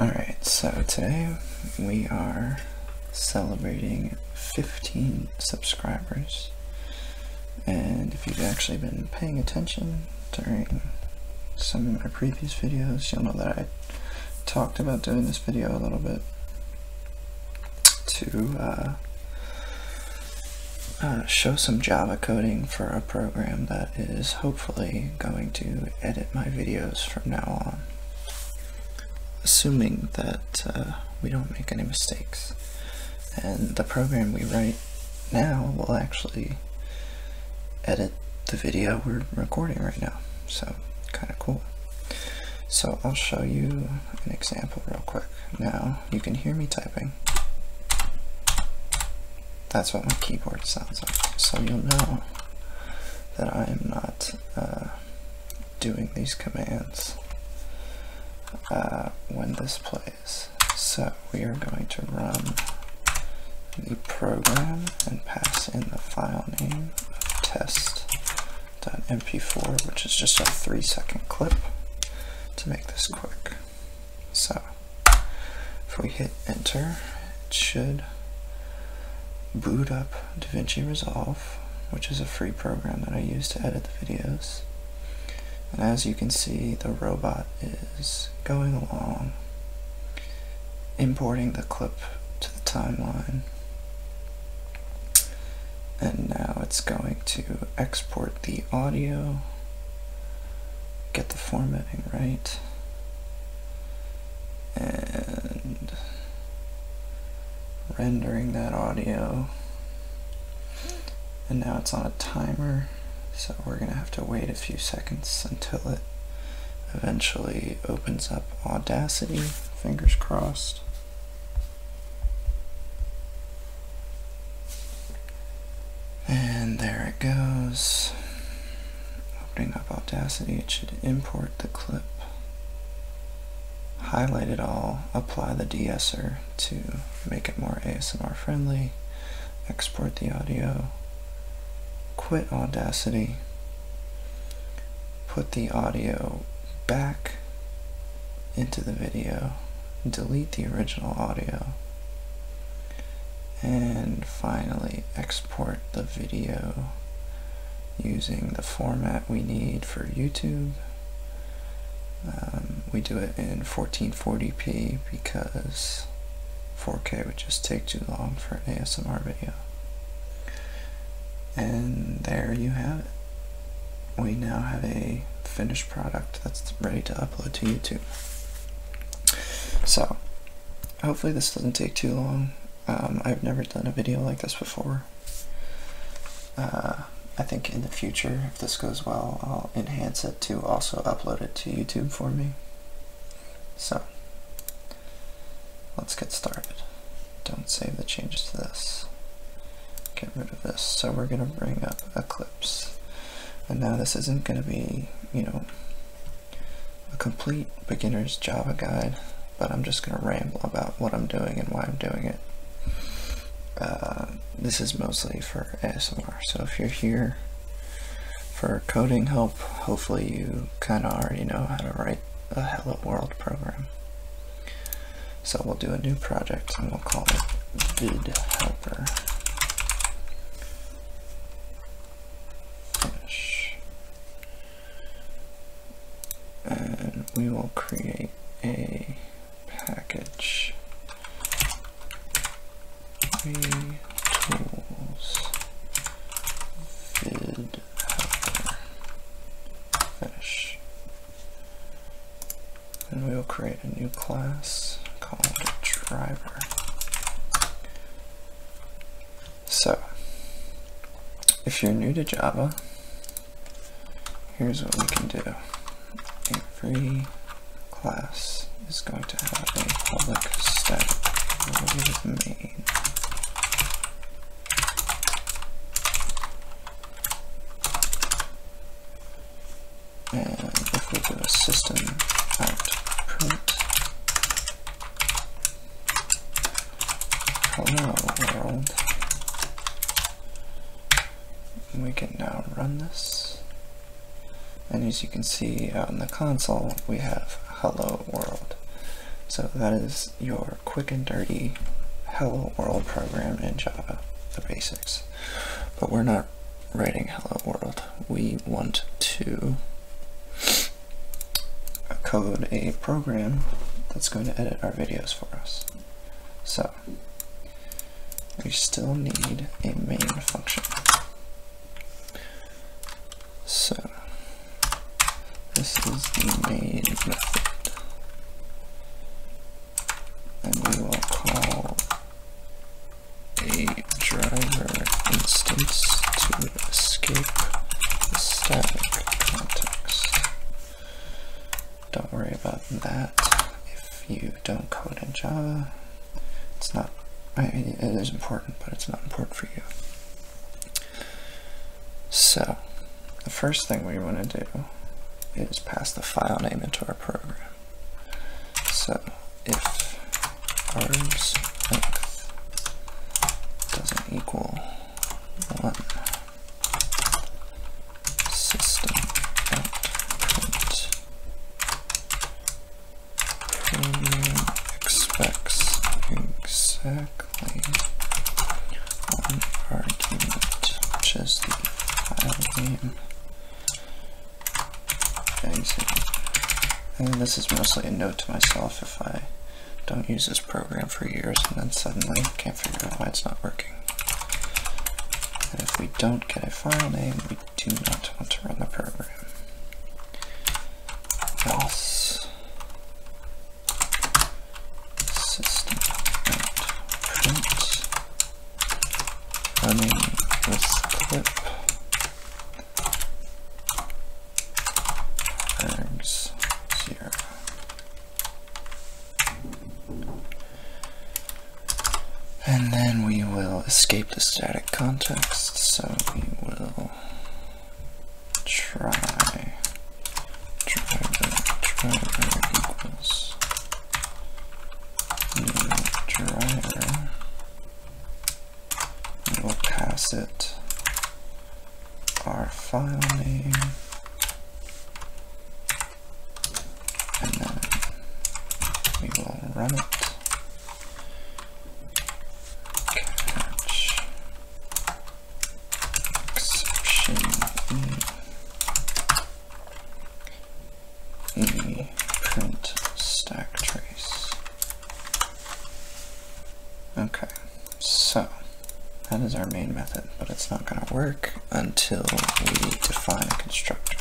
Alright, so today we are celebrating 15 subscribers. And if you've actually been paying attention during some of my previous videos, you'll know that I talked about doing this video a little bit to uh, uh, show some Java coding for a program that is hopefully going to edit my videos from now on. Assuming that uh, we don't make any mistakes. And the program we write now will actually edit the video we're recording right now. So, kind of cool. So I'll show you an example real quick. Now, you can hear me typing that's what my keyboard sounds like. So you'll know that I am not uh, doing these commands uh, when this plays. So we are going to run the program and pass in the file name of test.mp4, which is just a three second clip to make this quick. So if we hit enter, it should boot up DaVinci Resolve, which is a free program that I use to edit the videos. And as you can see, the robot is going along, importing the clip to the timeline. And now it's going to export the audio, get the formatting right, and rendering that audio and now it's on a timer so we're gonna have to wait a few seconds until it eventually opens up Audacity fingers crossed and there it goes Opening up Audacity, it should import the clip. Highlight it all, apply the de to make it more ASMR friendly, export the audio, quit Audacity, put the audio back into the video, delete the original audio, and finally export the video using the format we need for YouTube. Um, we do it in 1440p because 4K would just take too long for an ASMR video. And there you have it. We now have a finished product that's ready to upload to YouTube. So, Hopefully this doesn't take too long. Um, I've never done a video like this before. Uh, I think in the future, if this goes well, I'll enhance it to also upload it to YouTube for me. So, let's get started. Don't save the changes to this. Get rid of this. So we're going to bring up Eclipse. And now this isn't going to be, you know, a complete beginner's Java guide, but I'm just going to ramble about what I'm doing and why I'm doing it. Uh, this is mostly for ASMR, so if you're here for coding help, hopefully you kind of already know how to write a Hello World program. So we'll do a new project and we'll call it vid helper. And we will create a package three tools vid fish. And we will create a new class called driver. So, if you're new to Java, here's what we can do. Every class is going to have a public static main. And if we do a system out print Hello world. We can now run this. And as you can see out in the console, we have hello world. So that is your quick and dirty hello world program in Java, the basics. But we're not writing hello world. We want to code a program that's going to edit our videos for us. So we still need a main function. So this is the main method. And we will call a driver instance to escape the static context. Don't worry about that if you don't code in Java. It's not, it is important, but it's not important for you. So, the first thing we want to do is pass the file name into our program. So, if arm's length doesn't equal 1. System dot print expects exactly one argument, which the file name And this is mostly a note to myself if I don't use this program for years and then suddenly can't figure out why it's not working. And if we don't get a file name, we do not want to run the program. Else system print running with clip Eggs here. And then we will escape the static context, so we will try driver, driver equals new driver we'll pass it our file name and then we will run it catch exception e, print stack trace Okay, so that is our main method, but it's not going to work until we define a constructor.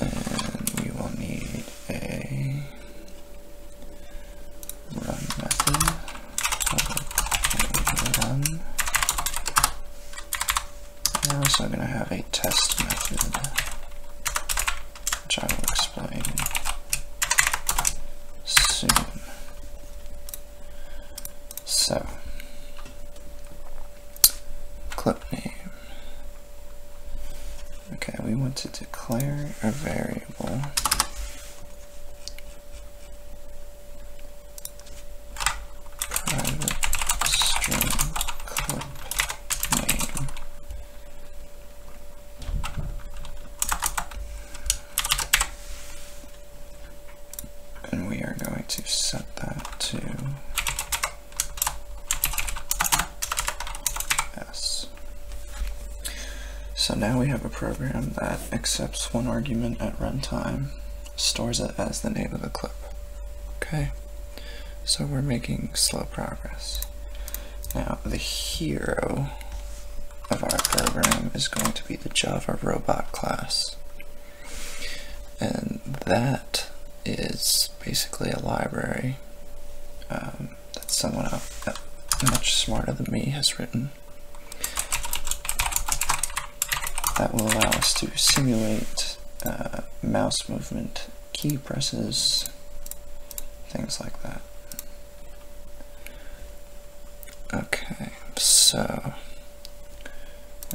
and we will need method. Run. We're also going to have a test method, which I will explain soon. So, clip name. Okay, we want to declare a variable private string clip name. And we are going to set that to S. So now we have a program that accepts one argument at runtime, stores it as the name of the clip. Okay, so we're making slow progress. Now the hero of our program is going to be the Java robot class. And that is basically a library um, that someone uh, much smarter than me has written that will allow us to simulate uh, mouse movement, key presses, things like that. Okay, so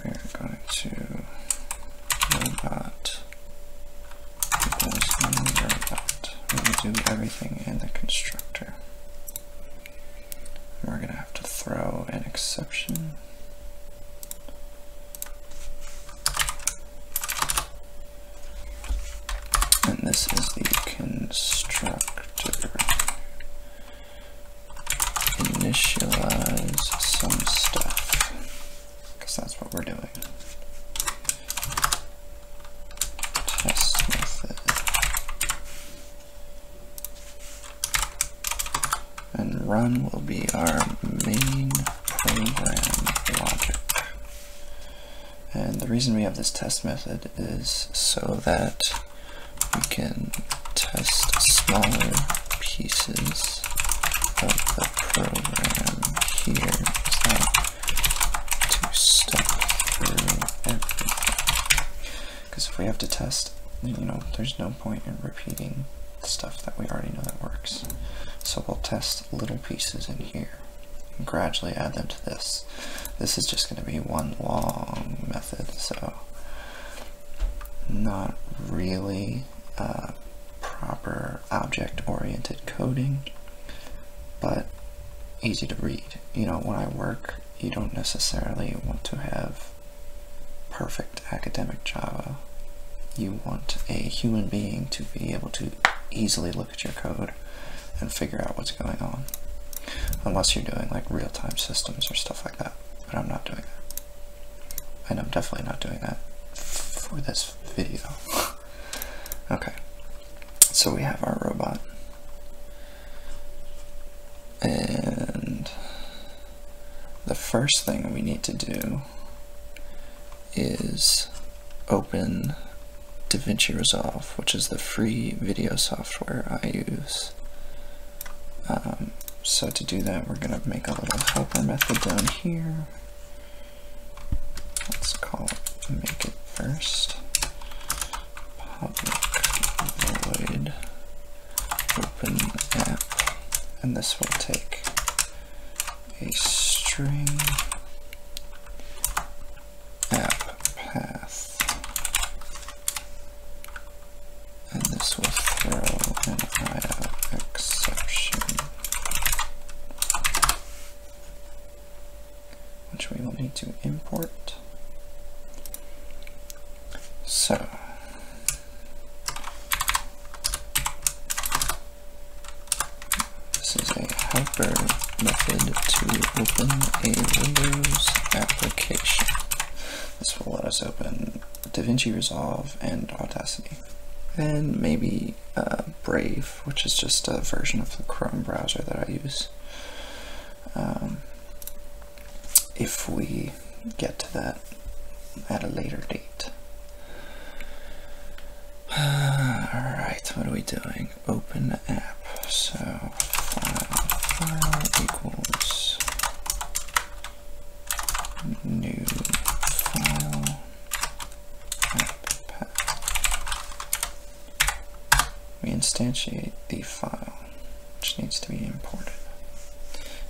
we're going to robot equals robot. We do everything in the constructor. We're gonna have to throw an exception. And this is the constructor initialize some stuff because that's what we're doing. Test method and run will be our main program logic. And the reason we have this test method is so that we can test smaller pieces of the program here to step through because if we have to test, you know, there's no point in repeating stuff that we already know that works. So we'll test little pieces in here gradually add them to this. This is just going to be one long method, so not really proper object-oriented coding, but easy to read. You know, when I work you don't necessarily want to have perfect academic Java. You want a human being to be able to easily look at your code and figure out what's going on. Unless you're doing like real-time systems or stuff like that, but I'm not doing that. And I'm definitely not doing that for this video. okay, so we have our robot. And the first thing we need to do is open DaVinci Resolve, which is the free video software I use. Um, so to do that, we're going to make a little helper method down here. Let's call it make it first public void open app and this will take a string app path and this will throw an IO exception which we will need to import so. This is a helper method to open a Windows application. This will let us open DaVinci Resolve and Audacity. And maybe uh, Brave, which is just a version of the Chrome browser that I use. Um, if we get to that at a later date. Alright, what are we doing? Open app. So file equals new file app path. We instantiate the file which needs to be imported.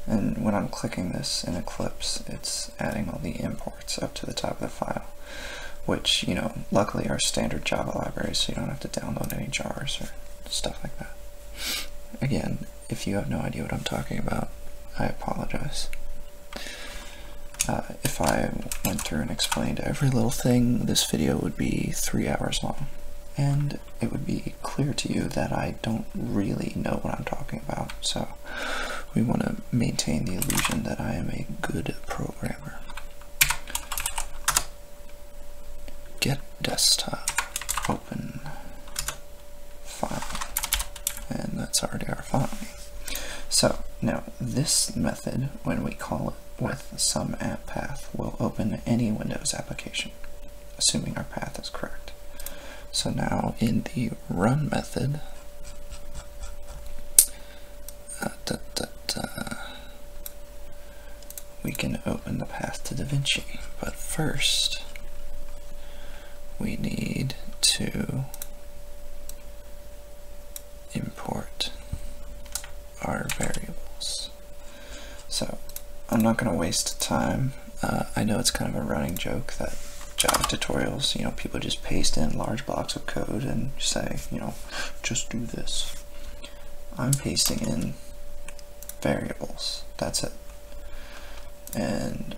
And when I'm clicking this in Eclipse, it's adding all the imports up to the top of the file, which, you know, luckily are standard Java libraries, so you don't have to download any jars or stuff like that. Again, if you have no idea what I'm talking about, I apologize. Uh, if I went through and explained every little thing, this video would be three hours long. And it would be clear to you that I don't really know what I'm talking about. So we want to maintain the illusion that I am a good programmer. Get desktop, open file, and that's already our file So now this method, when we call it with some app path, will open any Windows application assuming our path is correct. So now in the run method, uh, we can open the path to Da Vinci. But first, we need to import our variables. So I'm not going to waste time. Uh, I know it's kind of a running joke that Java tutorials, you know, people just paste in large blocks of code and say, you know, just do this. I'm pasting in variables. That's it. And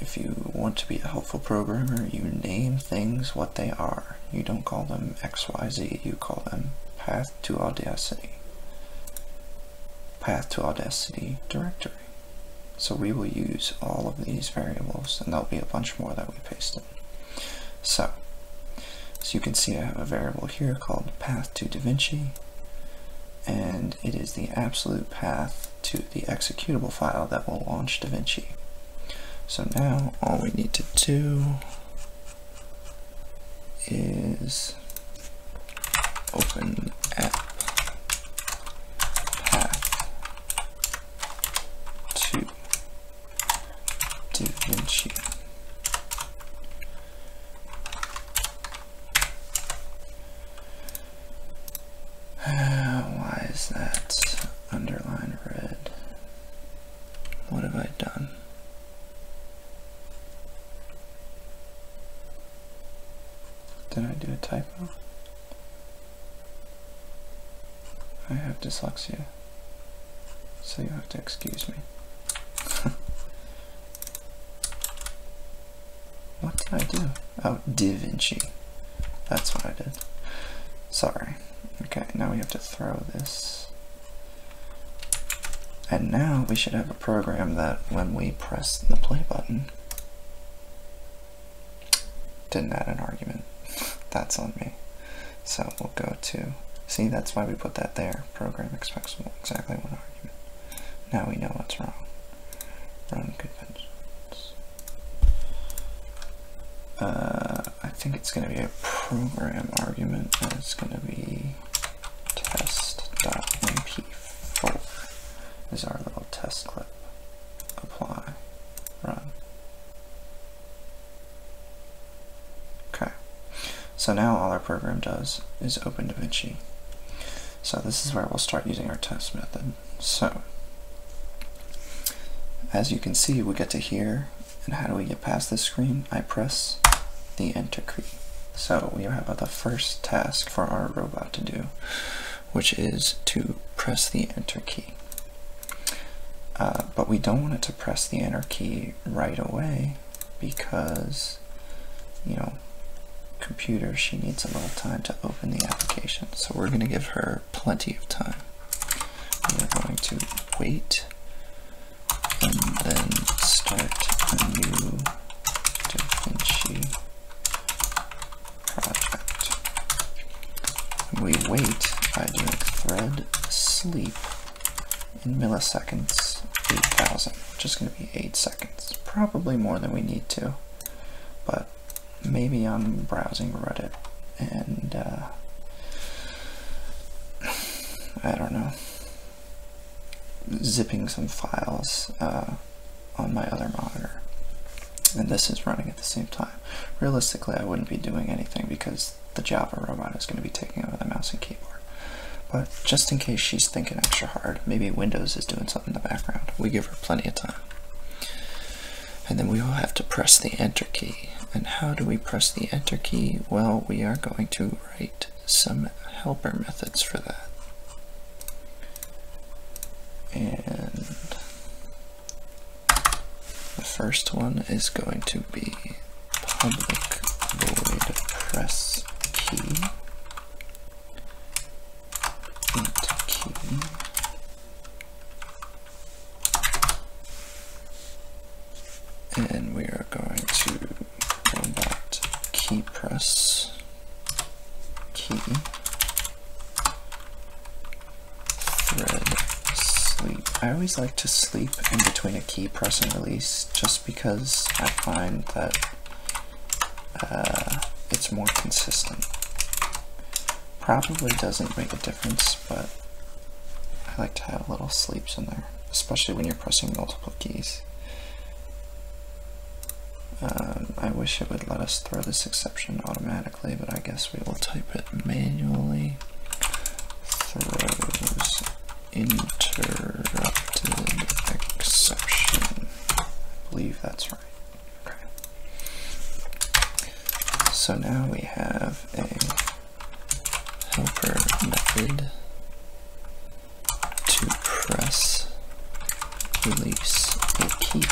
if you want to be a helpful programmer, you name things what they are. You don't call them XYZ, you call them path to audacity path to Audacity directory. So we will use all of these variables and there'll be a bunch more that we paste in. So, as you can see I have a variable here called path to DaVinci and it is the absolute path to the executable file that will launch DaVinci. So now all we need to do is open app path to DaVinci. Uh, why is that underline red? What have I done? Did I do a typo? I have dyslexia, so you have to excuse me. what did I do? Oh, Da Vinci. That's what I did. Sorry. Okay, now we have to throw this and now we should have a program that when we press the play button, didn't add an argument. that's on me. So we'll go to, see that's why we put that there. Program expects exactly one argument. Now we know what's wrong. Run conventions. Uh, I think it's going to be a program argument and it's going to be test.mp4 is our little test clip. Apply, run. Okay, so now all our program does is open DaVinci. So this is where we'll start using our test method. So, as you can see, we get to here, and how do we get past this screen? I press the enter key. So we have the first task for our robot to do, which is to press the enter key. Uh, but we don't want it to press the enter key right away because, you know, computer, she needs a little time to open the application. So we're going to give her plenty of time. We're going to wait and then start a new DaVinci project. We wait by doing thread sleep in milliseconds 8000, which is going to be 8 seconds. Probably more than we need to, but maybe I'm browsing Reddit and uh, I don't know zipping some files uh, on my other monitor. And this is running at the same time. Realistically, I wouldn't be doing anything because the Java robot is going to be taking over the mouse and keyboard. But just in case she's thinking extra hard, maybe Windows is doing something in the background. We give her plenty of time. And then we will have to press the Enter key. And how do we press the Enter key? Well, we are going to write some helper methods for that. And the first one is going to be public void press key. And we are going to key press key sleep. I always like to sleep in between a key press and release just because I find that uh, it's more consistent. Probably doesn't make a difference, but I like to have little sleeps in there, especially when you're pressing multiple keys. Um, I wish it would let us throw this exception automatically, but I guess we will type it manually. Throws interrupted exception. I believe that's right. Okay. So now we have a helper method to press, release, a key.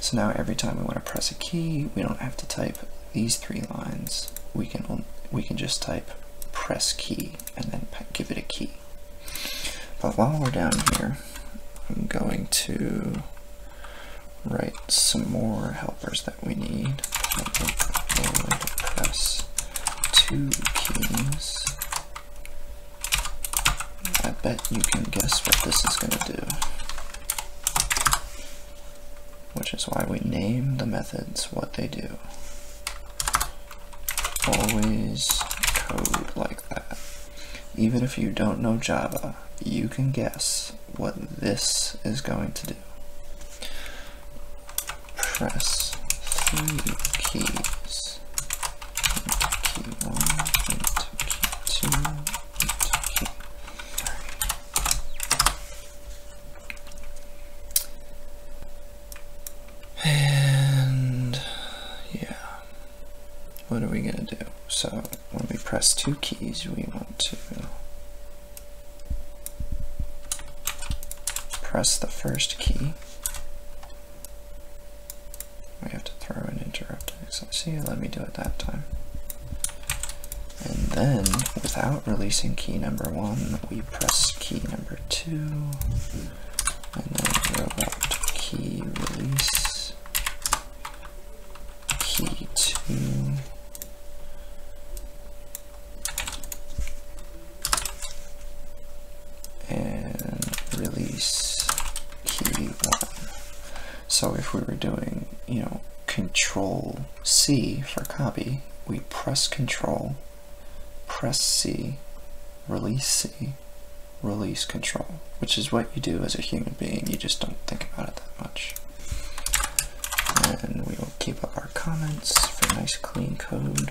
So now every time we want to press a key, we don't have to type these three lines. We can, we can just type press key and then give it a key. But while we're down here, I'm going to write some more helpers that we need. press two keys I bet you can guess what this is going to do. Which is why we name the methods what they do. Always code like that. Even if you don't know Java, you can guess what this is going to do press three keys, key one, And yeah, what are we gonna do? So when we press two keys, we want to press the first key we have to throw an interrupt XIC, let me do it that time. And then, without releasing key number one, we press key number two, and then we robot key release, key two, and release key one. So if we were doing, you know, control C for copy, we press control, press C, release C, release control, which is what you do as a human being. You just don't think about it that much. And we will keep up our comments for nice clean code.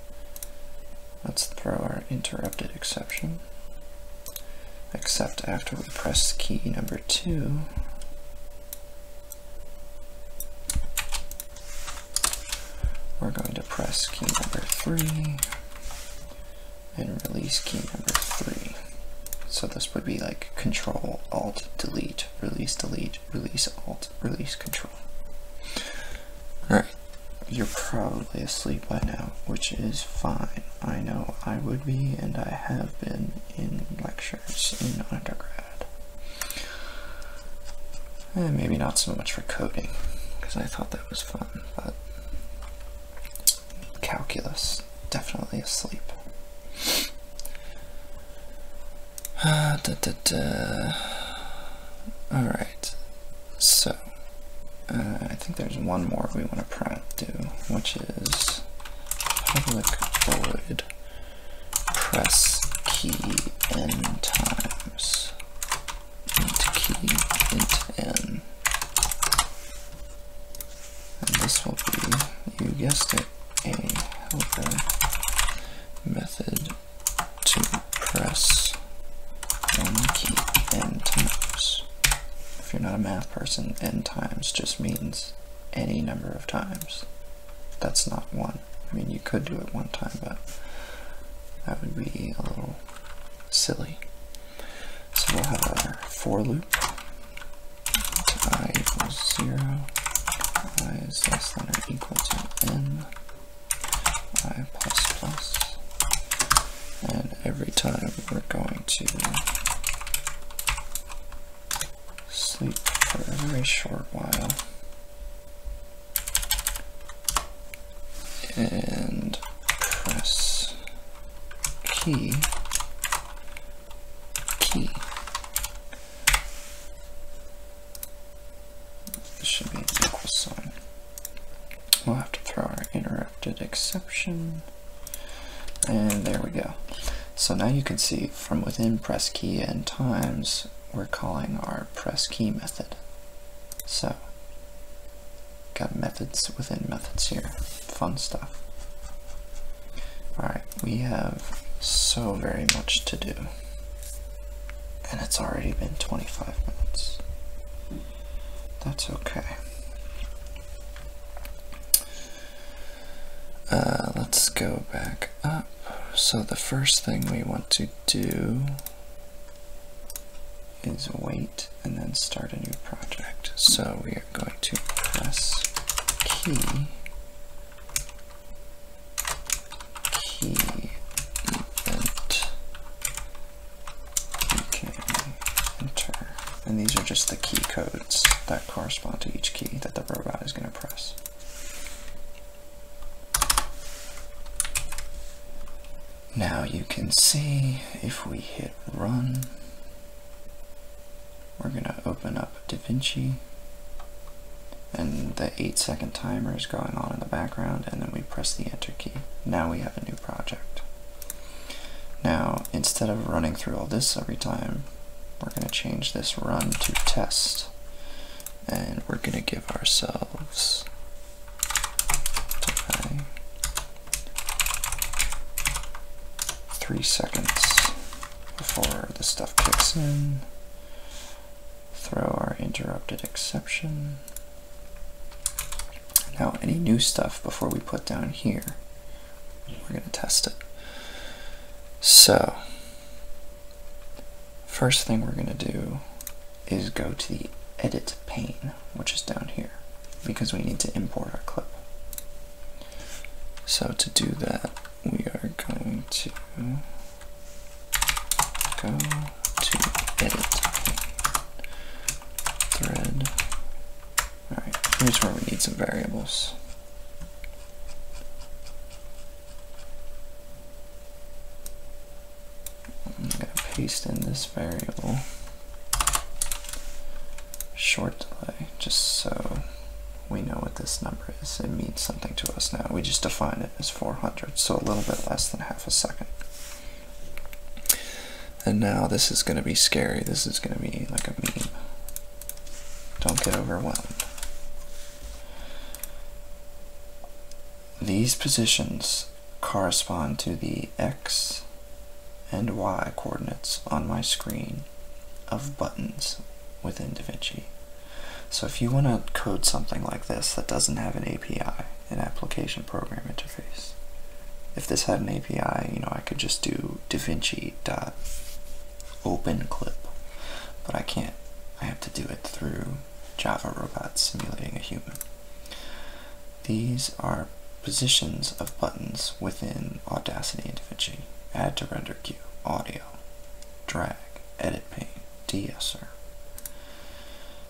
Let's throw our interrupted exception. Except after we press key number two, we're going to press key number three and release key number three. So this would be like control, alt, delete, release, delete, release, alt, release, control. All right, you're probably asleep by now, which is fine. I know I would be, and I have been in lectures in undergrad. Eh, maybe not so much for coding, because I thought that was fun, but calculus, definitely asleep. Uh, Alright, so uh, I think there's one more we want to print do, which is public void press key n times int key int n. And this will be, you guessed it, a helper method to press n times. If you're not a math person, n times just means any number of times. That's not one. I mean, you could do it one time, but that would be a little silly. So we'll have our for loop. i equals 0, i is less than or equal to n, i plus plus, and every time we're going to sleep for a very short while and press key key this should be an equal sign We'll have to throw our interrupted exception. And there we go. So now you can see from within press key and times, we're calling our press key method. So got methods within methods here. Fun stuff. All right, we have so very much to do. And it's already been 25 minutes. That's okay. Uh, let's go back up. So the first thing we want to do is wait and then start a new project. So we are going to press key, key event Okay, enter. And these are just the key codes that correspond to each key that the robot is going to press. Now you can see if we hit run, we're going to open up DaVinci and the 8 second timer is going on in the background and then we press the enter key. Now we have a new project. Now, instead of running through all this every time, we're going to change this run to test. And we're going to give ourselves three seconds before the stuff kicks in. Throw our interrupted exception. Now, any new stuff before we put down here, we're going to test it. So, first thing we're going to do is go to the edit pane, which is down here, because we need to import our clip. So to do that, we are going to go to edit thread. Alright, here's where we need some variables. I'm going to paste in this variable short delay just so we know what this number is. It means something to us now. We just define it as 400, so a little bit less than half a second. And now this is going to be scary. This is going to be like a meme. Don't get overwhelmed. These positions correspond to the X and Y coordinates on my screen of buttons within DaVinci. So if you want to code something like this that doesn't have an API, an application program interface. If this had an API, you know, I could just do DaVinci dot open clip, but I can't. I have to do it through Java robots simulating a human. These are positions of buttons within Audacity and DaVinci. Add to render queue, audio, drag, edit pane, deesser.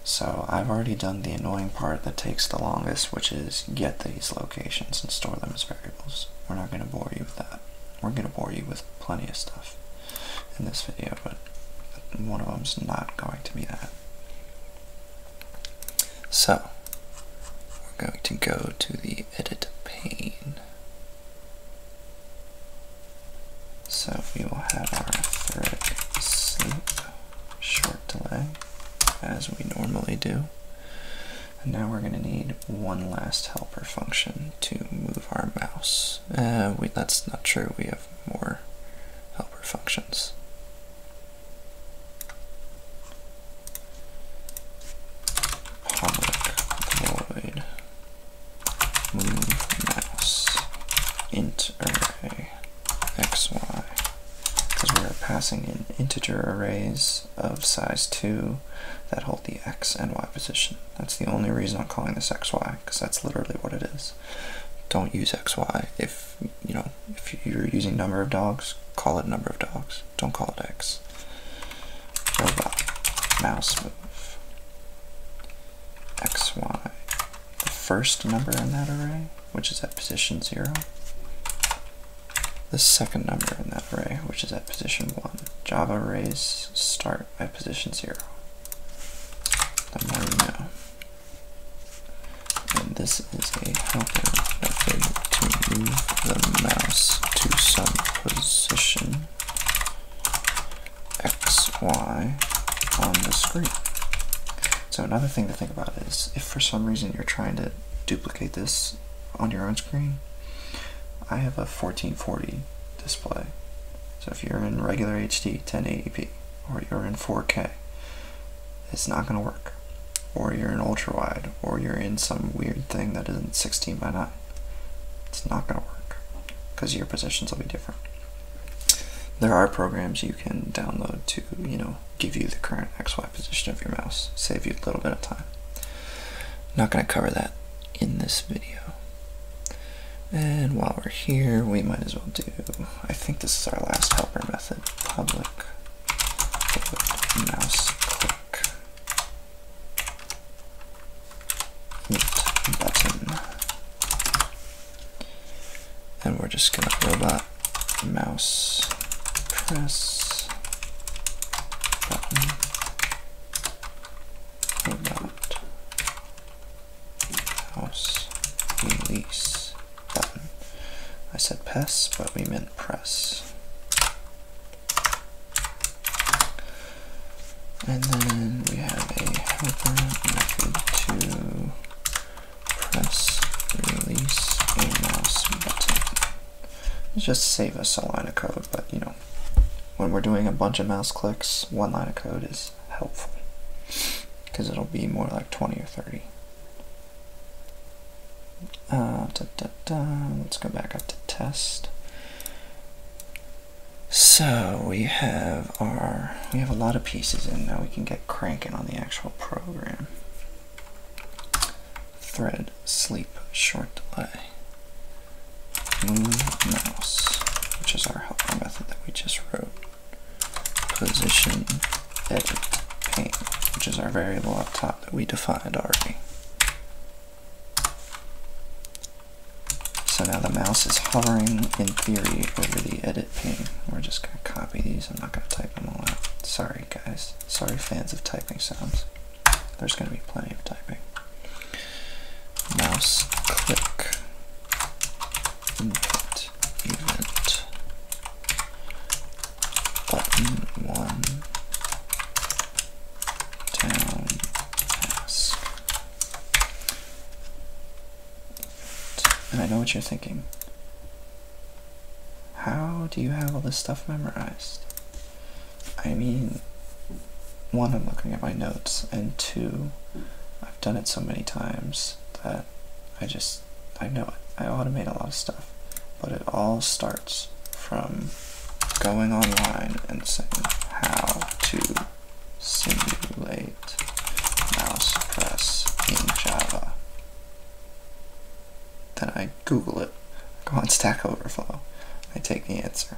So I've already done the annoying part that takes the longest, which is get these locations and store them as variables. We're not going to bore you with that. We're going to bore you with plenty of stuff in this video, but one of them's not going to be that. So, we're going to go to the edit pane. So we will have our thread snip short delay as we normally do. And now we're going to need one last helper function to move our mouse. Uh, that's not true, we have more helper functions. Public void move xy because we are passing in integer arrays of size 2 that hold the x and y position. That's the only reason I'm calling this xy because that's literally what it is. Don't use xy if you know if you're using number of dogs, call it number of dogs. Don't call it x. Robot mouse move xy the first number in that array which is at position 0, the second number in that array, which is at position 1. Java arrays start at position 0. The more you know. And this is a helper method to move the mouse to some position xy on the screen. So another thing to think about is if for some reason you're trying to duplicate this on your own screen, I have a 1440 display. So if you're in regular HD 1080p or you're in 4K, it's not going to work. Or you're in ultra wide or you're in some weird thing that isn't 16 by 9. It's not going to work because your positions will be different. There are programs you can download to, you know, give you the current XY position of your mouse, save you a little bit of time. I'm not going to cover that in this video. And while we're here, we might as well do, I think this is our last helper method, public mouse click button. And we're just gonna that mouse press button robot mouse release button. I said pass, but we meant press. And then we have a helper method to press release a mouse button. just save us a line of code, but you know, when we're doing a bunch of mouse clicks, one line of code is helpful because it'll be more like 20 or 30. Uh, Let's go back up to test. So we have our, we have a lot of pieces in now. We can get cranking on the actual program. Thread, sleep, short delay, move mouse, which is our helper method that we just wrote, position, edit, paint, which is our variable up top that we defined already. So now the mouse is hovering, in theory, over the edit pane. We're just going to copy these. I'm not going to type them all out. Sorry, guys. Sorry, fans of typing sounds. There's going to be plenty of typing. Mouse click input event button one down task. And I know what you're thinking. How do you have all this stuff memorized? I mean, one, I'm looking at my notes, and two, I've done it so many times that I just, I know it. I automate a lot of stuff, but it all starts from going online and saying how to simulate mouse press in Java. Then I Google it, go on Stack Overflow, I take the answer.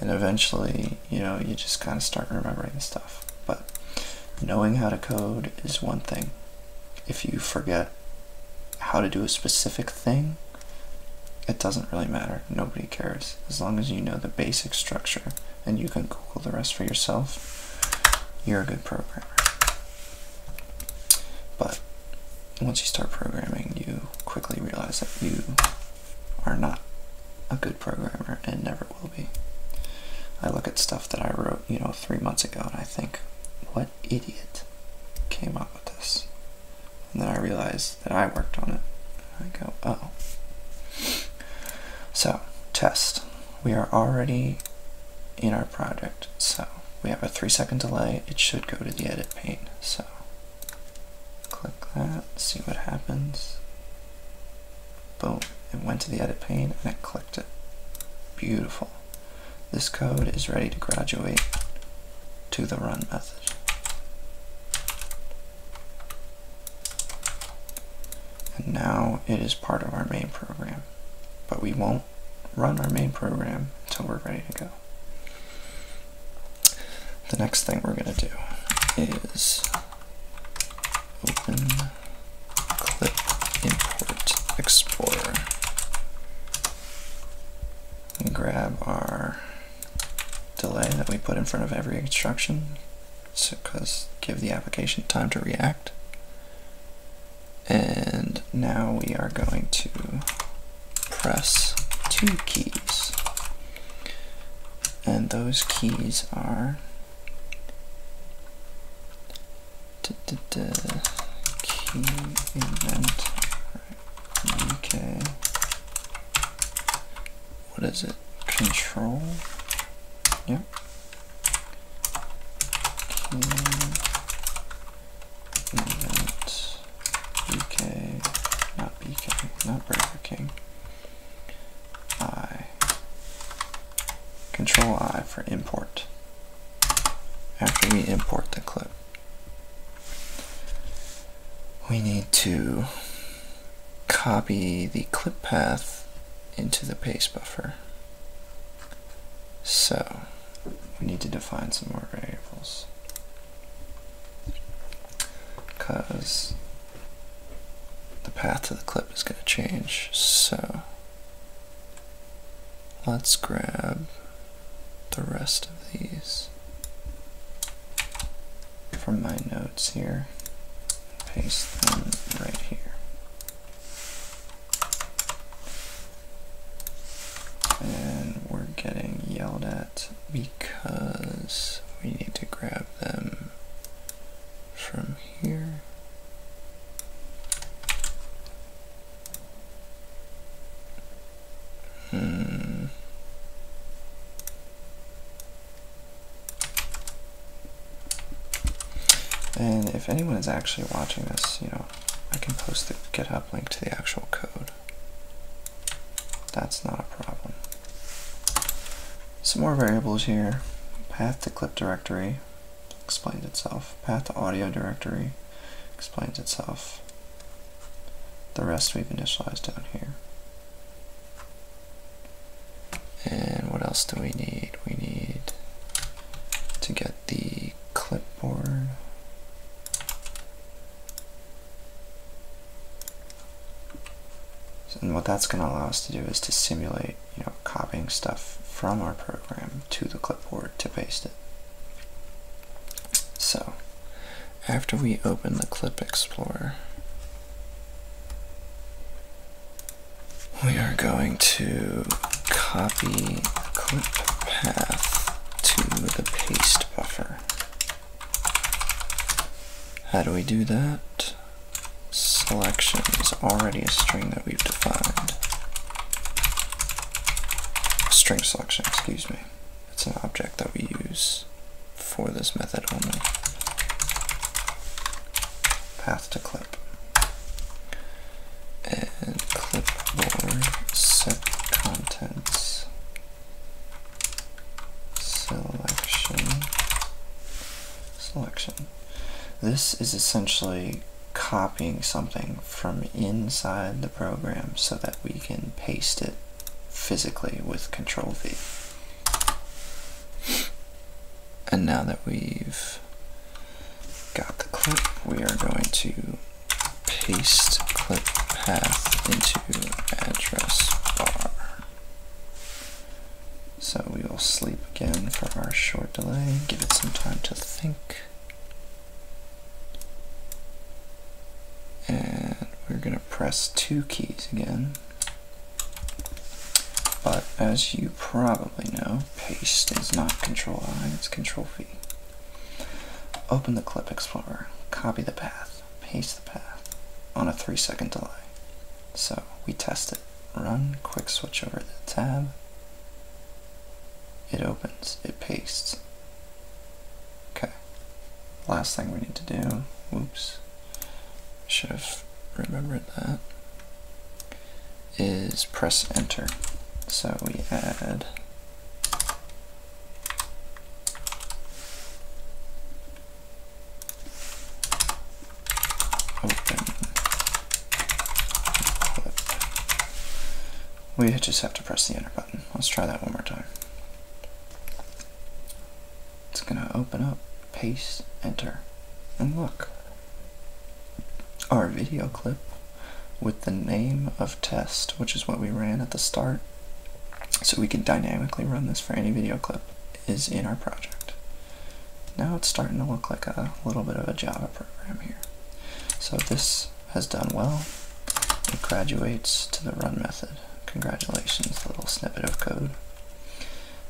And eventually, you know, you just kind of start remembering stuff. But knowing how to code is one thing. If you forget how to do a specific thing, it doesn't really matter. Nobody cares. As long as you know the basic structure and you can Google the rest for yourself, you're a good programmer. But once you start programming, you quickly realize that you are not a good programmer and never will be. I look at stuff that I wrote, you know, three months ago and I think, what idiot came up with this? And then I realize that I worked on it. I go, oh. So, test. We are already in our project. So we have a three second delay. It should go to the edit pane. So click that, see what happens. Boom, it went to the edit pane and I clicked it. Beautiful. This code is ready to graduate to the run method. And now it is part of our main program, but we won't run our main program until we're ready to go. The next thing we're going to do is open click import explorer and grab our delay that we put in front of every instruction so because give the application time to react and now we are going to press two keys. And those keys are the da, da, key event. Okay. What is it? Control. Yep. Key Event BK, not BK, not Burger King. I. Control I for import. After we import the clip, we need to copy the clip path into the paste buffer. So we need to define some more variables because the path to the clip is going to change. So let's grab the rest of these from my notes here, paste them right here. And we're getting yelled at because we need to grab them from here. Hmm. And if anyone is actually watching this, you know, I can post the GitHub link to the actual code. That's not a problem. Some more variables here. Path to clip directory explains itself. Path to audio directory explains itself. The rest we've initialized down here. And what else do we need? We need to get the clipboard and what that's going to allow us to do is to simulate, you know, copying stuff from our program to the clipboard to paste it. So after we open the Clip Explorer, we are going to copy clip path to the paste buffer. How do we do that? Selection is already a string that we've defined. String selection, excuse me. It's an object that we use for this method only. Path to clip and clipboard set contents selection selection. This is essentially copying something from inside the program so that we can paste it physically with control V. And now that we've got the clip, we are going to paste clip path into address bar. So we will sleep again for our short delay, give it some time to think. And we're gonna press two keys again. But as you probably know, paste is not control I, it's control V. Open the Clip Explorer, copy the path, paste the path on a three second delay. So we test it. Run, quick switch over to the tab. It opens, it pastes. Okay. Last thing we need to do, whoops, should have remembered that, is press enter. So we add Open. We just have to press the enter button. Let's try that one more time. It's gonna open up, paste, enter, and look. Our video clip with the name of test, which is what we ran at the start, so we can dynamically run this for any video clip, is in our project. Now it's starting to look like a little bit of a Java program here. So this has done well. It graduates to the run method. Congratulations, little snippet of code.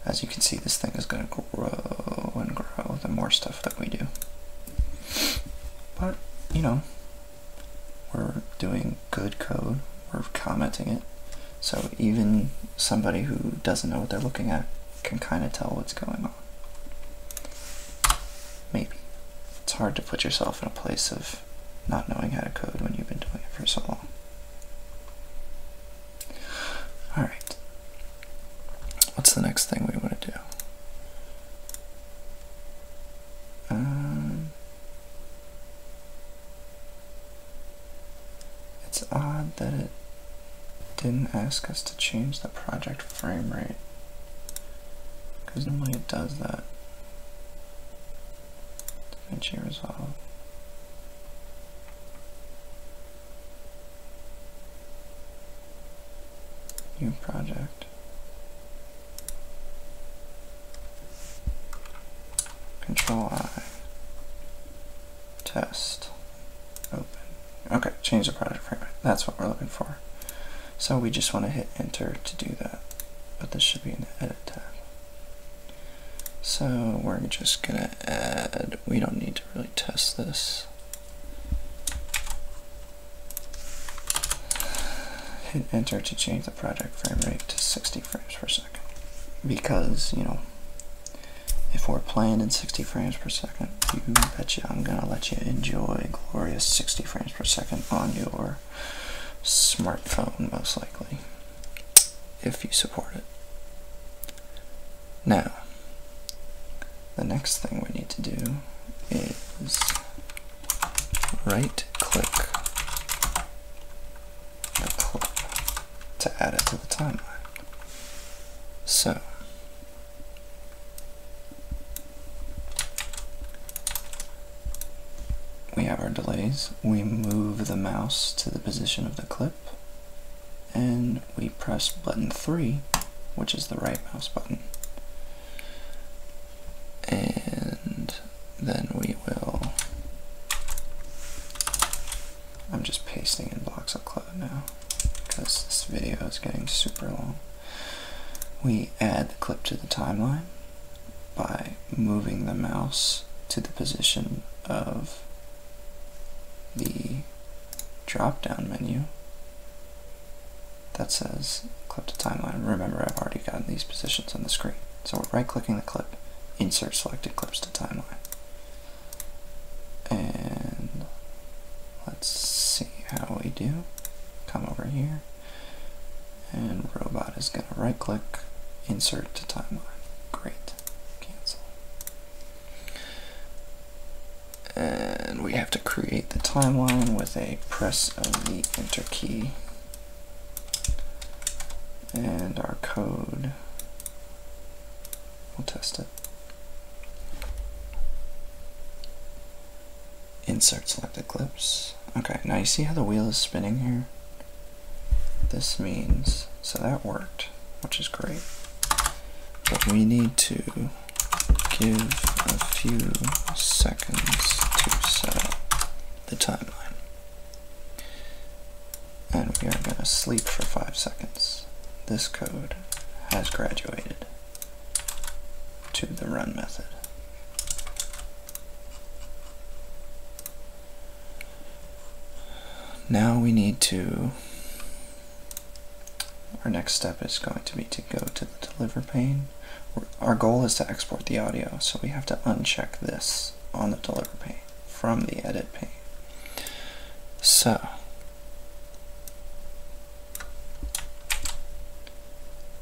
As you can see, this thing is going to grow and grow the more stuff that we do. But, you know, we're doing good code, we're commenting it. So even somebody who doesn't know what they're looking at can kind of tell what's going on. Maybe. It's hard to put yourself in a place of not knowing how to code when you've been doing it for so long. Alright. What's the next thing we want to do? Uh, it's odd that it didn't ask us to change the project frame rate because normally it does that. DaVinci Resolve new project. Control I. Test. Open. Okay, change the project fragment. That's what we're looking for. So we just want to hit enter to do that. But this should be in the edit tab. So we're just gonna add, we don't need to really test this. Hit enter to change the project frame rate to 60 frames per second. Because, you know, if we're playing in 60 frames per second, you betcha I'm gonna let you enjoy glorious 60 frames per second on your smartphone, most likely, if you support it. Now, the next thing we need to do is right click the clip to add it to the timeline. So we have our delays, we move the mouse to the position of the clip, and we press button 3, which is the right mouse button and then we will. I'm just pasting in blocks of code now because this video is getting super long. We add the clip to the timeline by moving the mouse to the position of the drop down menu that says clip to timeline. Remember, I've already gotten these positions on the screen. So we're right-clicking the clip, insert selected clips to timeline. And let's see how we do. Come over here, and robot is gonna right-click, insert to timeline. Great, cancel. And we have to create the timeline with with a press of the enter key and our code. We'll test it. Insert selected clips. Okay, now you see how the wheel is spinning here? This means, so that worked, which is great. But we need to give a few seconds seconds to set up the timeline. And we are going to sleep for 5 seconds. This code has graduated to the run method. Now we need to, our next step is going to be to go to the deliver pane our goal is to export the audio, so we have to uncheck this on the deliver pane from the edit pane. So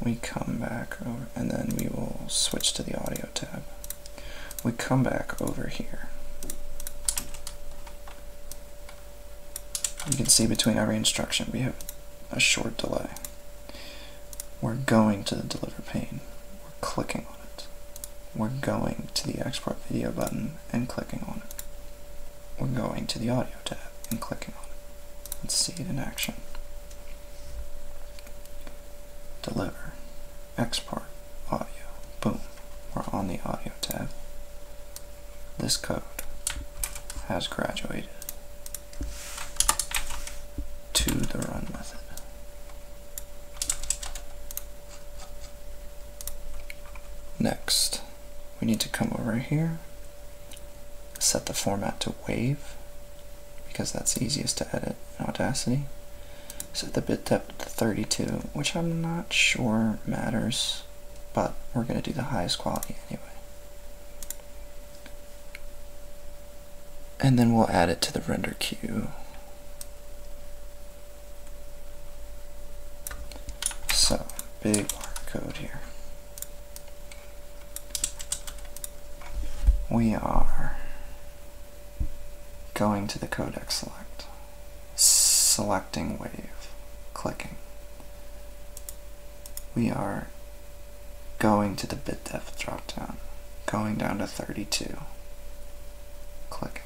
we come back over and then we will switch to the audio tab. We come back over here. You can see between every instruction we have a short delay. We're going to the deliver pane. We're clicking on it. We're going to the export video button and clicking on it. We're going to the audio tab and clicking on it. Let's see it in action. Deliver. Export. Audio. Boom. We're on the audio tab. This code has graduated to the run method. Next, we need to come over here, set the format to wave, because that's easiest to edit in Audacity. Set the bit depth to 32, which I'm not sure matters, but we're going to do the highest quality anyway and then we'll add it to the render queue. So, big code here. We are going to the codec select, selecting wave, clicking we are going to the bit depth drop down, going down to 32, clicking,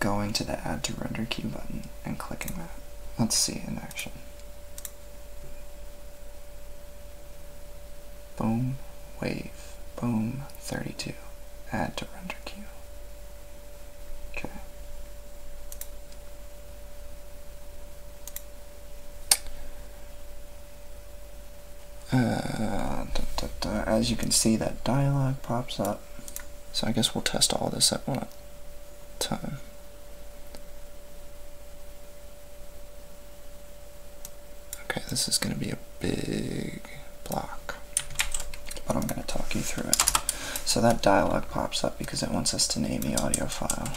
going to the add to render queue button and clicking that. Let's see in action. Boom, wave, boom, 32, add to render queue. Okay. Uh, As you can see, that dialog pops up. So I guess we'll test all this at one time. Okay, this is going to be a big block, but I'm going to talk you through it. So that dialog pops up because it wants us to name the audio file.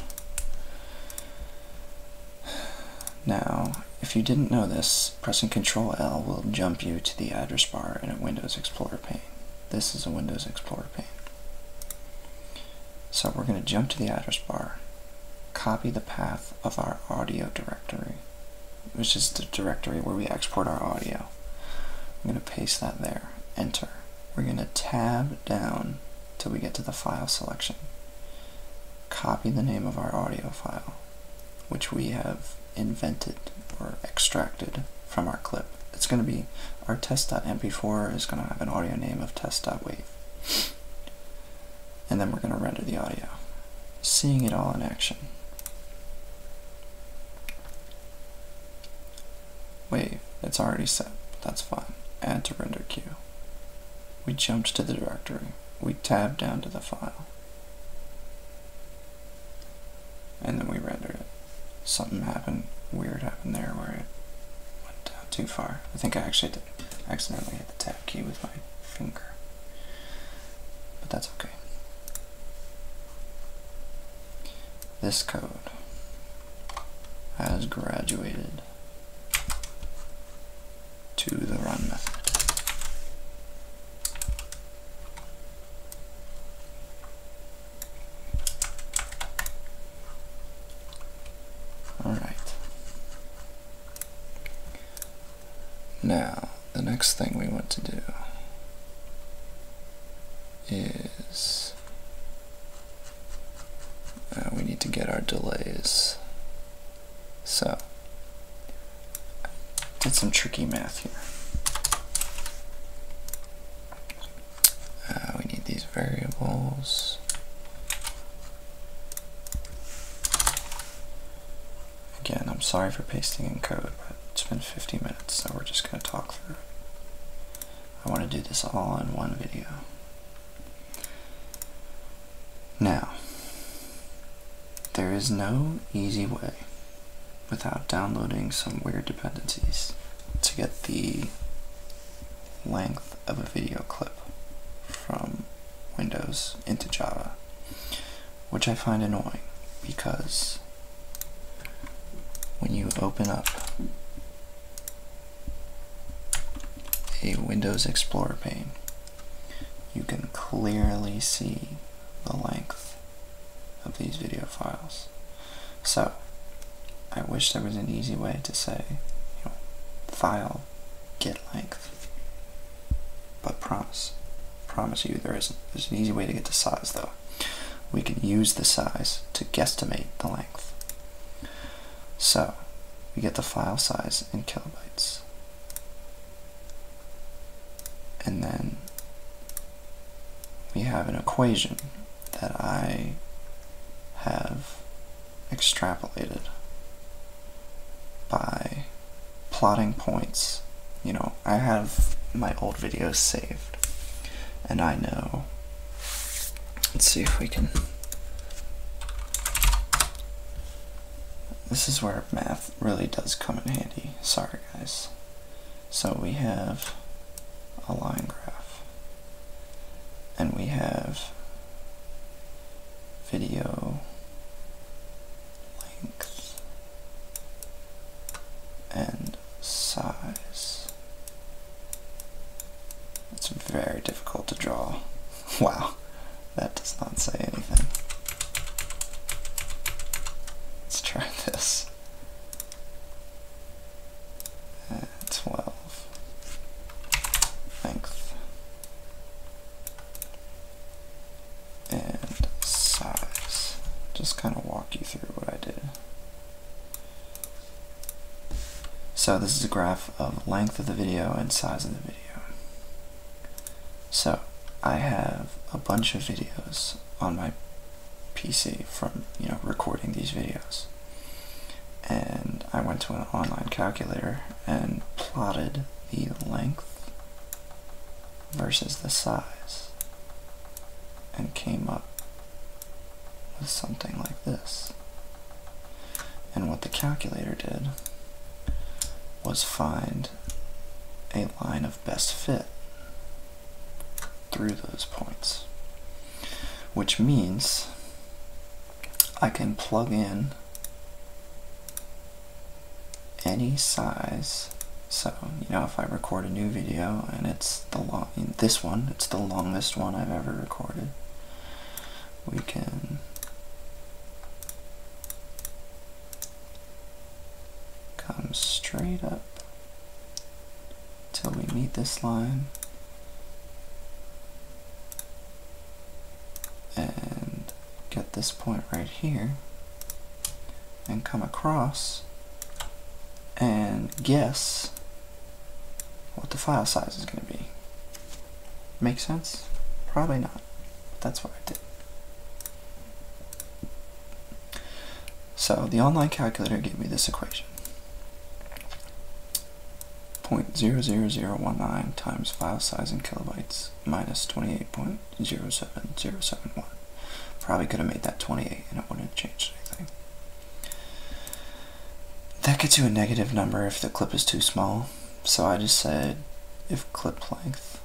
Now, if you didn't know this, pressing Ctrl L will jump you to the address bar in a Windows Explorer pane. This is a Windows Explorer pane. So we're going to jump to the address bar, copy the path of our audio directory, which is the directory where we export our audio. I'm going to paste that there, enter. We're going to tab down till we get to the file selection. Copy the name of our audio file, which we have invented or extracted from our clip. It's going to be our test.mp4 is going to have an audio name of test.wav, And then we're going to render the audio, seeing it all in action. Wave, it's already set, that's fine. Add to render queue. We jumped to the directory. We tabbed down to the file. And then we rendered it. Something happened, weird happened there where it went down too far. I think I actually accidentally hit the tab key with my finger. But that's okay. This code has graduated to the run method. Alright. Now, the next thing we want to do is uh, we need to get our delays. So, did some tricky math here. Uh, we need these variables. Again, I'm sorry for pasting in code, but it's been 50 minutes, so we're just going to talk through it. I want to do this all in one video. Now, there is no easy way without downloading some weird dependencies to get the length of a video clip from Windows into Java, which I find annoying because when you open up a Windows Explorer pane, you can clearly see the length of these video files. So, I wish there was an easy way to say, file, get length. But promise, promise you there isn't. There's an easy way to get the size though. We can use the size to guesstimate the length. So, we get the file size in kilobytes. And then we have an equation that I have extrapolated by plotting points. You know, I have my old videos saved, and I know Let's see if we can. This is where math really does come in handy. Sorry, guys. So we have a line graph, and we have video length and size. It's very difficult to draw. Wow, that does not say anything. Let's try this. 12. Length. And size. Just kind of walk you through what I did. So this is a graph of length of the video and size of the video. So I have a bunch of videos on my PC from you know recording these videos. And I went to an online calculator and plotted the length versus the size and came up with something like this. And what the calculator did was find a line of best fit through those points, which means I can plug in any size. So, you know, if I record a new video and it's the long, this one, it's the longest one I've ever recorded we can come straight up till we meet this line and get this point right here and come across and guess what the file size is going to be. Make sense? Probably not. that's why I did. So the online calculator gave me this equation. 0.00019 times file size in kilobytes minus 28.07071. Probably could have made that 28 and it wouldn't have changed anything. That gets you a negative number if the clip is too small, so I just said if clip length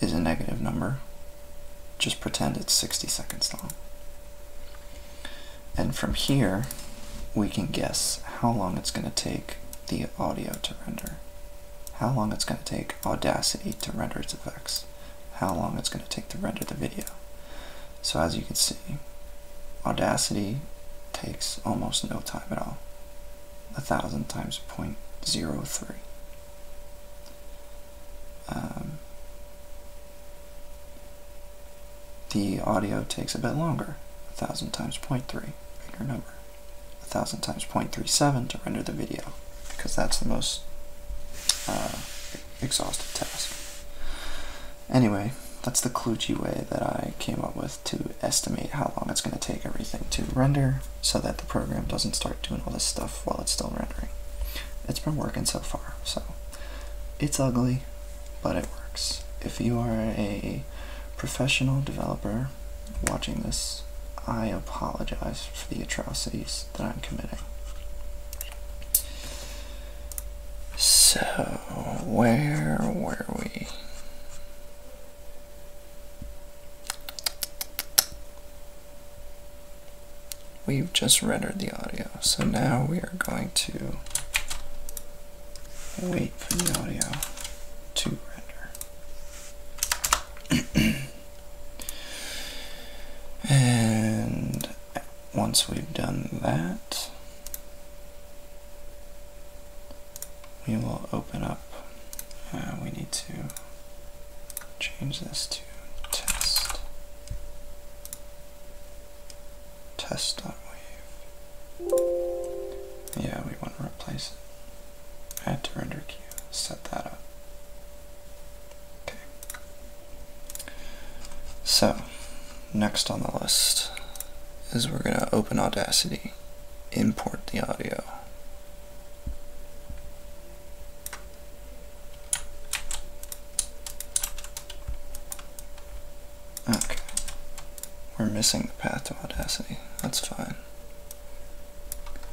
is a negative number, just pretend it's 60 seconds long. And from here, we can guess how long it's going to take the audio to render, how long it's going to take Audacity to render its effects, how long it's going to take to render the video. So as you can see, Audacity takes almost no time at all, a thousand times 0.03. Um, the audio takes a bit longer, a thousand times 0.3, bigger number, a thousand times 0.37 to render the video, because that's the most uh, exhaustive task. Anyway, that's the kludgy way that I came up with to estimate how long it's going to take everything to render so that the program doesn't start doing all this stuff while it's still rendering. It's been working so far, so it's ugly, but it works. If you are a professional developer watching this, I apologize for the atrocities that I'm committing. So, where were we? We've just rendered the audio, so now we are going to wait for the audio to render. and once we've done that, we will open up, uh, we need to change this to test, test.wave. Yeah, we want to replace it. Add to render queue, set that up. Okay. So, next on the list is we're going to open Audacity import the audio. Okay. We're missing the path to Audacity. That's fine.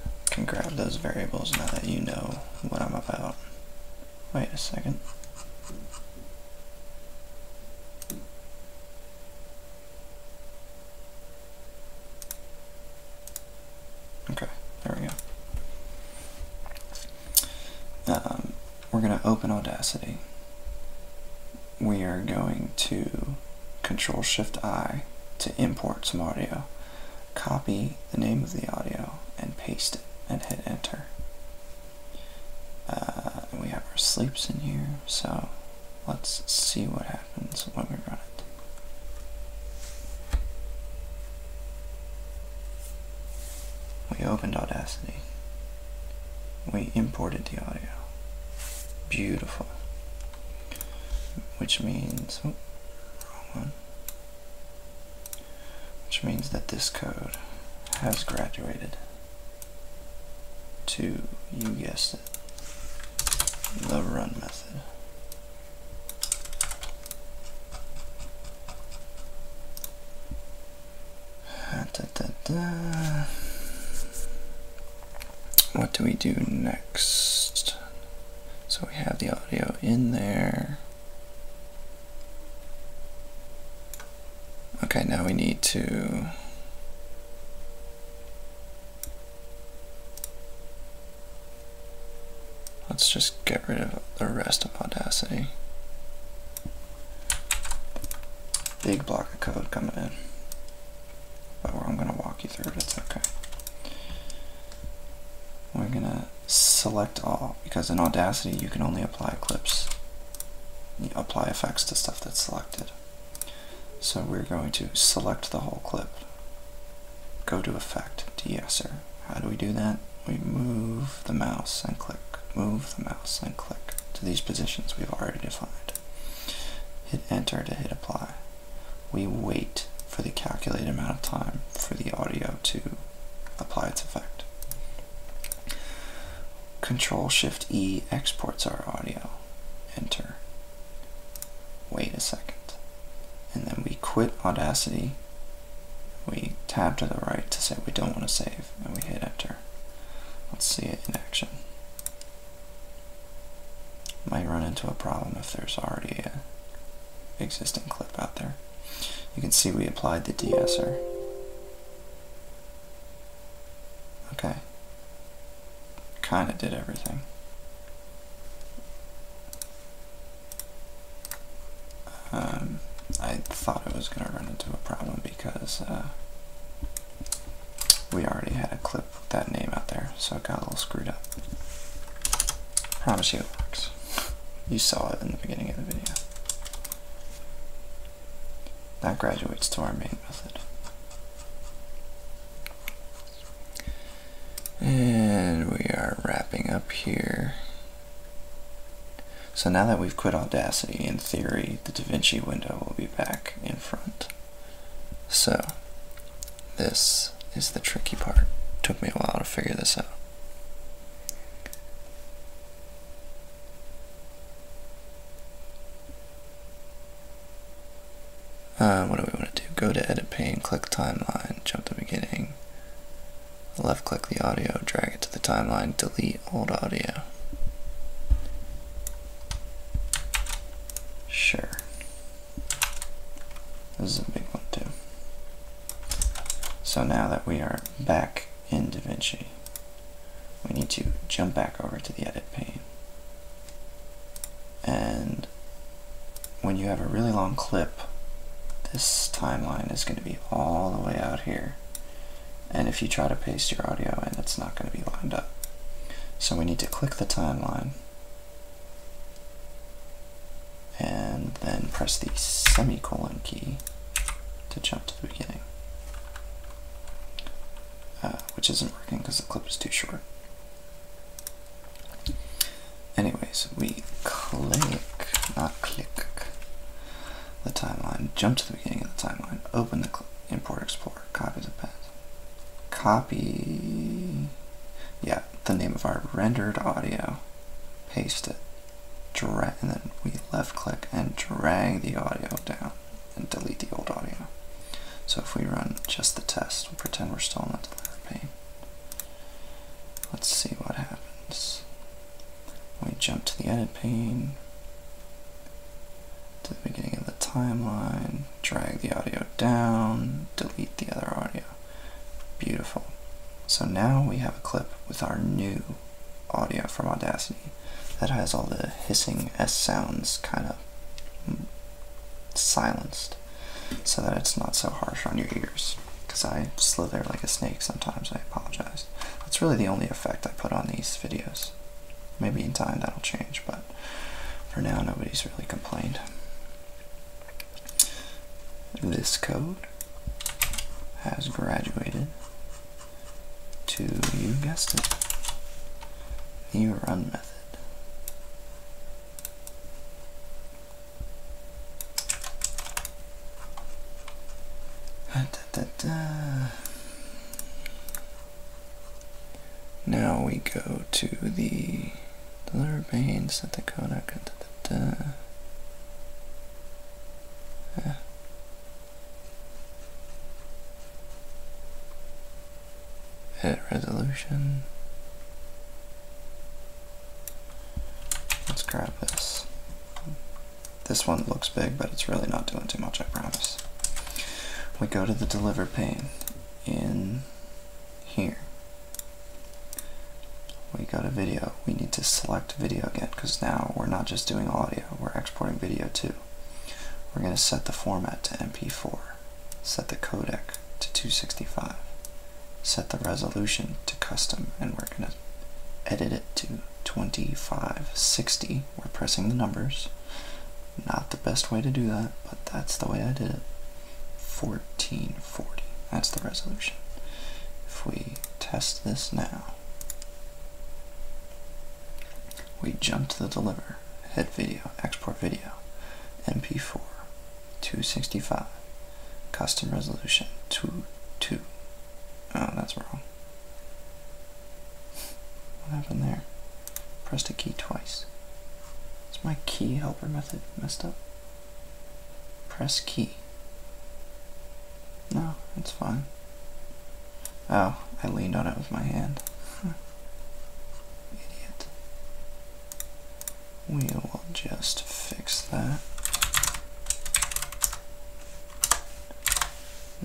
I can grab those variables now that you know what I'm about. Wait a second. Okay, there we go. Um, we're going to open Audacity. We are going to Control Shift I to import some audio. Copy the name of the audio and paste it and hit enter. Uh, we have our sleeps in here, so Let's see what happens when we run it. We opened Audacity. We imported the audio. Beautiful. Which means, oh, Which means that this code has graduated to, you guessed it, the run method. What do we do next? So we have the audio in there. Okay, now we need to let's just get rid of the rest of Audacity. Big block of code coming in. But I'm gonna walk you through it, it's okay. We're gonna select all, because in Audacity you can only apply clips, apply effects to stuff that's selected. So we're going to select the whole clip, go to Effect, De-esser. How do we do that? We move the mouse and click, move the mouse and click to these positions we've already defined. Hit Enter to hit Apply. We wait for the calculated amount of time for the audio to apply its effect. Control Shift E exports our audio. Enter. Wait a second. And then we quit Audacity. We tab to the right to say we don't want to save, and we hit enter. Let's see it in action. Might run into a problem if there's already a existing clip out there. You can see we applied the de Okay kind of did everything. Um, I thought I was going to run into a problem because uh, we already had a clip with that name out there, so it got a little screwed up. Promise you it works. You saw it in the beginning of the video. That graduates to our main method. And we are wrapping up here. So now that we've quit Audacity, in theory, the Da Vinci window will be back in front. So, this is the tricky part. Took me a while to figure this out. Uh, what do we want to do? Go to edit pane, click timeline, jump to beginning, left click the audio, drag it to the timeline, delete old audio. Sure. This is a big one too. So now that we are back in DaVinci, we need to jump back over to the edit pane. And when you have a really long clip, this timeline is going to be all the way out here. And if you try to paste your audio in, it's not going to be lined up. So we need to click the timeline and then press the semicolon key to jump to the beginning. Uh, which isn't working because the clip is too short. Anyways, we click, not click, the timeline, jump to the beginning of the timeline, open the import export. copy the path, copy, yeah, the name of our rendered audio, paste it, drag, and then we left click and drag the audio down and delete the old audio. So if we run just the test, we'll pretend we're still on the delivery pane. Let's see what happens. We jump to the edit pane, to the beginning of the timeline, drag the audio down, delete the other audio. Beautiful. So now we have a clip with our new audio from Audacity that has all the hissing S sounds kind of silenced so that it's not so harsh on your ears because I slither like a snake sometimes. I apologize. That's really the only effect I put on these videos. Maybe in time that'll change, but for now nobody's really complained. This code has graduated to, you guessed it, the run method da, da, da. Now we go to the, the liver veins at the Kodak. Da, da, da. Ah hit resolution. Let's grab this. This one looks big, but it's really not doing too much, I promise. We go to the deliver pane in here. We go to video. We need to select video again because now we're not just doing audio, we're exporting video too. We're going to set the format to MP4, set the codec to 265, set the resolution to custom, and we're going to edit it to 2560. We're pressing the numbers. Not the best way to do that, but that's the way I did it. 1440. That's the resolution. If we test this now, we jump to the deliver. Head Video, Export Video, MP4, 265, Custom Resolution, 2, Oh, that's wrong. What happened there? Pressed a key twice. Is my key helper method messed up? Press key. No, it's fine. Oh, I leaned on it with my hand. Idiot. We will just fix that.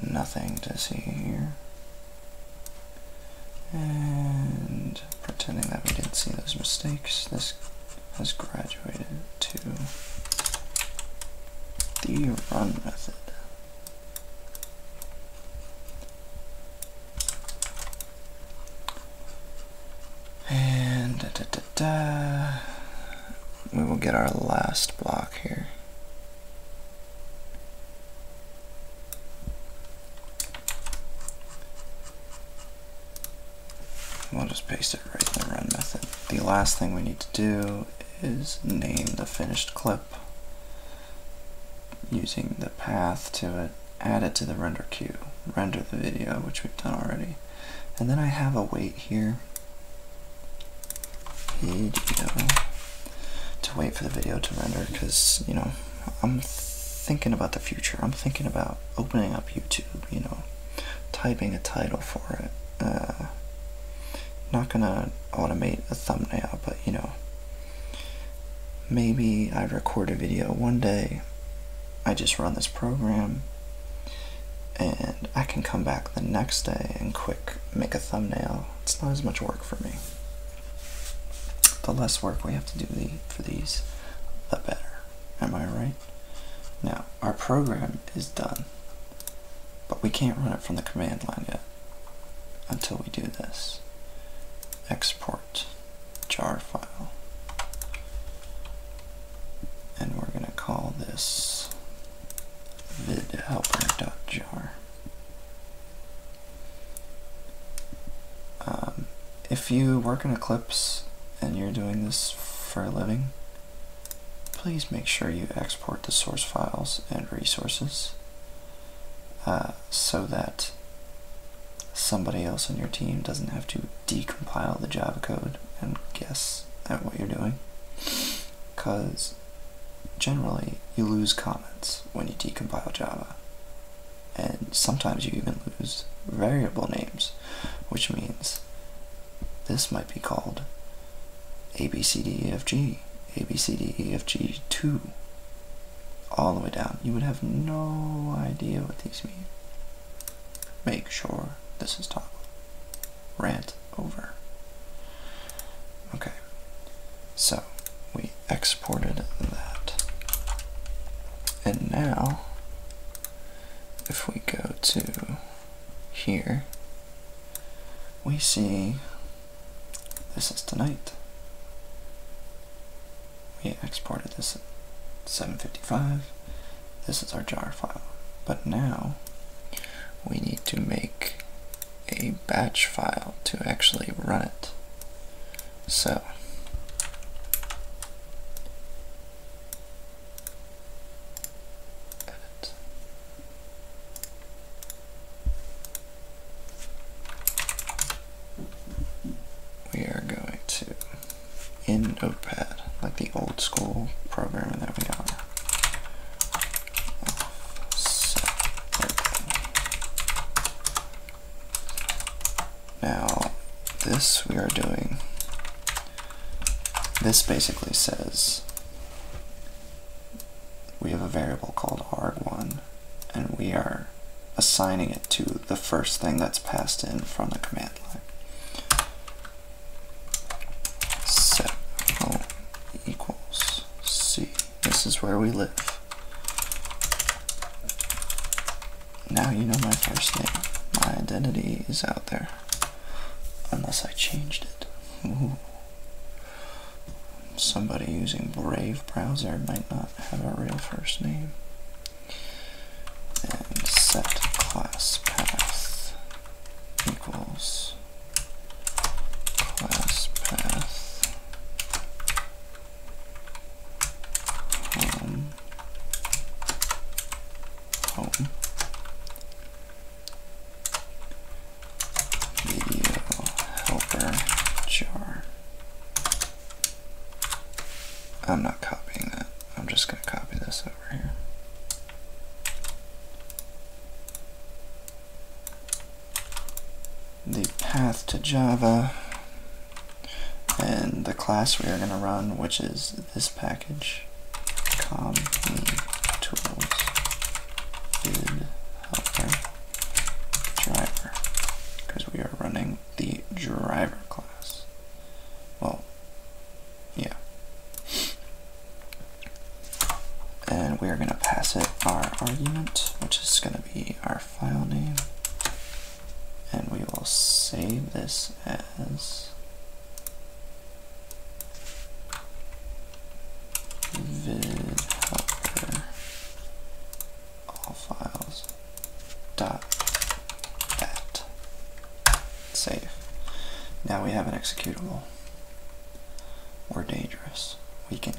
Nothing to see here. And pretending that we didn't see those mistakes, this has graduated to the run method. And we will get our last block here. We'll just paste it right in the run method. The last thing we need to do is name the finished clip using the path to add it to the render queue, render the video, which we've done already. And then I have a wait here, to wait for the video to render, because, you know, I'm thinking about the future. I'm thinking about opening up YouTube, you know, typing a title for it. Uh, not gonna automate a thumbnail, but, you know, Maybe I record a video one day, I just run this program, and I can come back the next day and quick make a thumbnail. It's not as much work for me. The less work we have to do for these, the better. Am I right? Now, our program is done, but we can't run it from the command line yet until we do this. Export jar file. And we're going to call this VidHelper.jar. Um, if you work in Eclipse and you're doing this for a living, please make sure you export the source files and resources uh, so that somebody else on your team doesn't have to decompile the Java code and guess at what you're doing. Because generally, you lose comments when you decompile Java. And sometimes you even lose variable names, which means this might be called ABCDEFG, ABCDEFG2, all the way down. You would have no idea what these mean. Make sure this is toggled. Rant over. Okay, so we exported that. And now, if we go to here, we see this is tonight. We exported this at 755. This is our jar file. But now we need to make a batch file to actually run it. So edit we are going to, in Notepad, like the old school program that we are, Now, this we are doing, this basically says we have a variable called arg1 and we are assigning it to the first thing that's passed in from the command line. Set home equals C. This is where we live. Now you know my first name. My identity is out there. Unless I changed it. Somebody using Brave browser might not have a real first name. And set class path equals class path home home video helper jar I'm not copying that. I'm just going to copy this over here. The path to Java and the class we are going to run, which is this package, com tools bid helper driver, because we are running the driver class. Well, yeah. And we are going to pass it our argument, which is going to be our file name. And we will save this as vid all files dot at save. Now we have an executable. We're dangerous. We can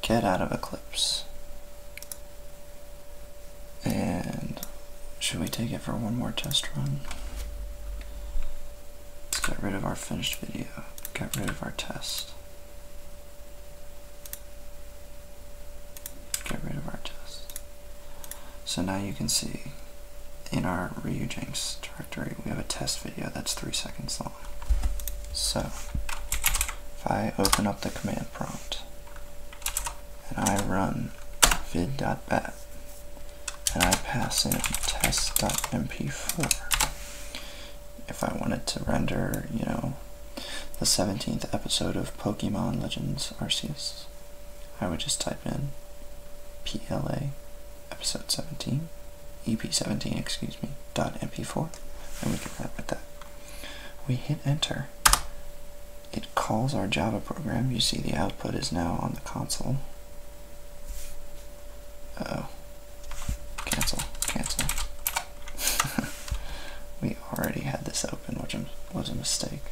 get out of Eclipse. And should we take it for one more test run? Let's get rid of our finished video, get rid of our test. Get rid of our test. So now you can see in our Ryujinx directory we have a test video that's three seconds long. So if I open up the command prompt and I run vid.bat and I pass in test.mp4 if I wanted to render, you know, the 17th episode of Pokemon Legends Arceus, I would just type in PLA episode 17, EP17, excuse me, dot MP4, and we can wrap with that. We hit enter. It calls our Java program. You see the output is now on the console. oh Cancel, cancel, we already had this open, which was a mistake.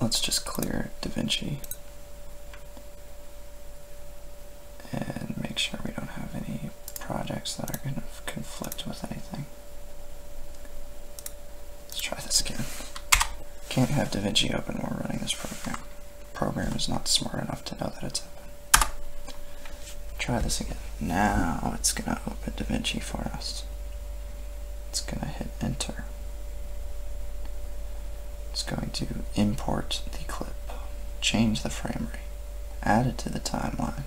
Let's just clear DaVinci and make sure we don't have any projects that are going to conflict with anything. Let's try this again. Can't have DaVinci open while running this program. Program is not smart enough to know that it's open. Try this again. Now it's going to open DaVinci for us. It's going to hit enter. It's going to import the clip, change the frame rate, add it to the timeline,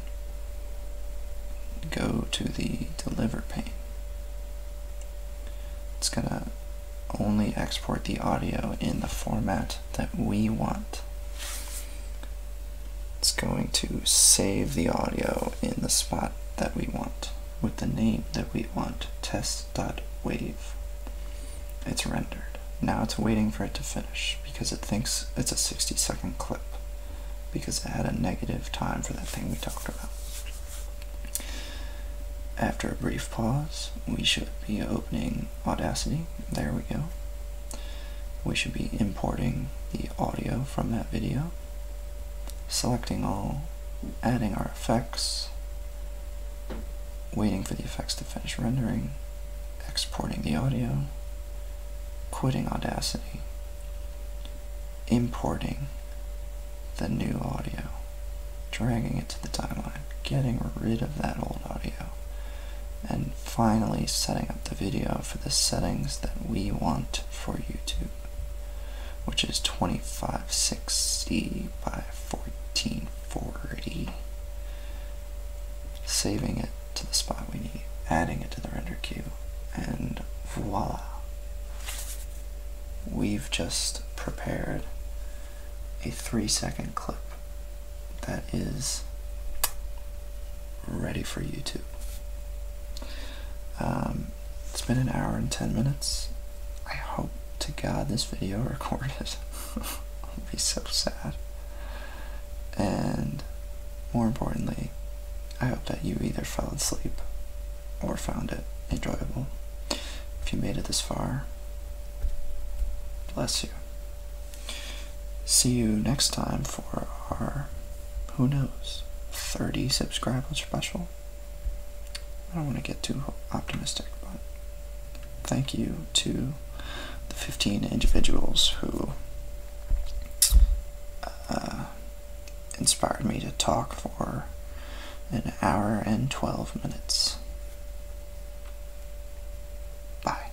go to the deliver pane. It's going to only export the audio in the format that we want. It's going to save the audio in the spot that we want with the name that we want, test.wave. It's rendered. Now it's waiting for it to finish because it thinks it's a 60 second clip because it had a negative time for that thing we talked about. After a brief pause, we should be opening Audacity. There we go. We should be importing the audio from that video, selecting all, adding our effects, waiting for the effects to finish rendering, exporting the audio, quitting Audacity, importing the new audio, dragging it to the timeline, getting rid of that old audio, and finally setting up the video for the settings that we want for YouTube, which is 2560 by 1440. Saving it to the spot we need, adding it to the render queue, and voila. We've just prepared a three second clip that is ready for YouTube. Um, it's been an hour and 10 minutes. I hope to God this video recorded. I'll be so sad. And more importantly, I hope that you either fell asleep or found it enjoyable. If you made it this far, bless you. See you next time for our, who knows, 30 subscriber special. I don't want to get too optimistic, but thank you to the 15 individuals who uh, inspired me to talk for an hour and 12 minutes. Bye.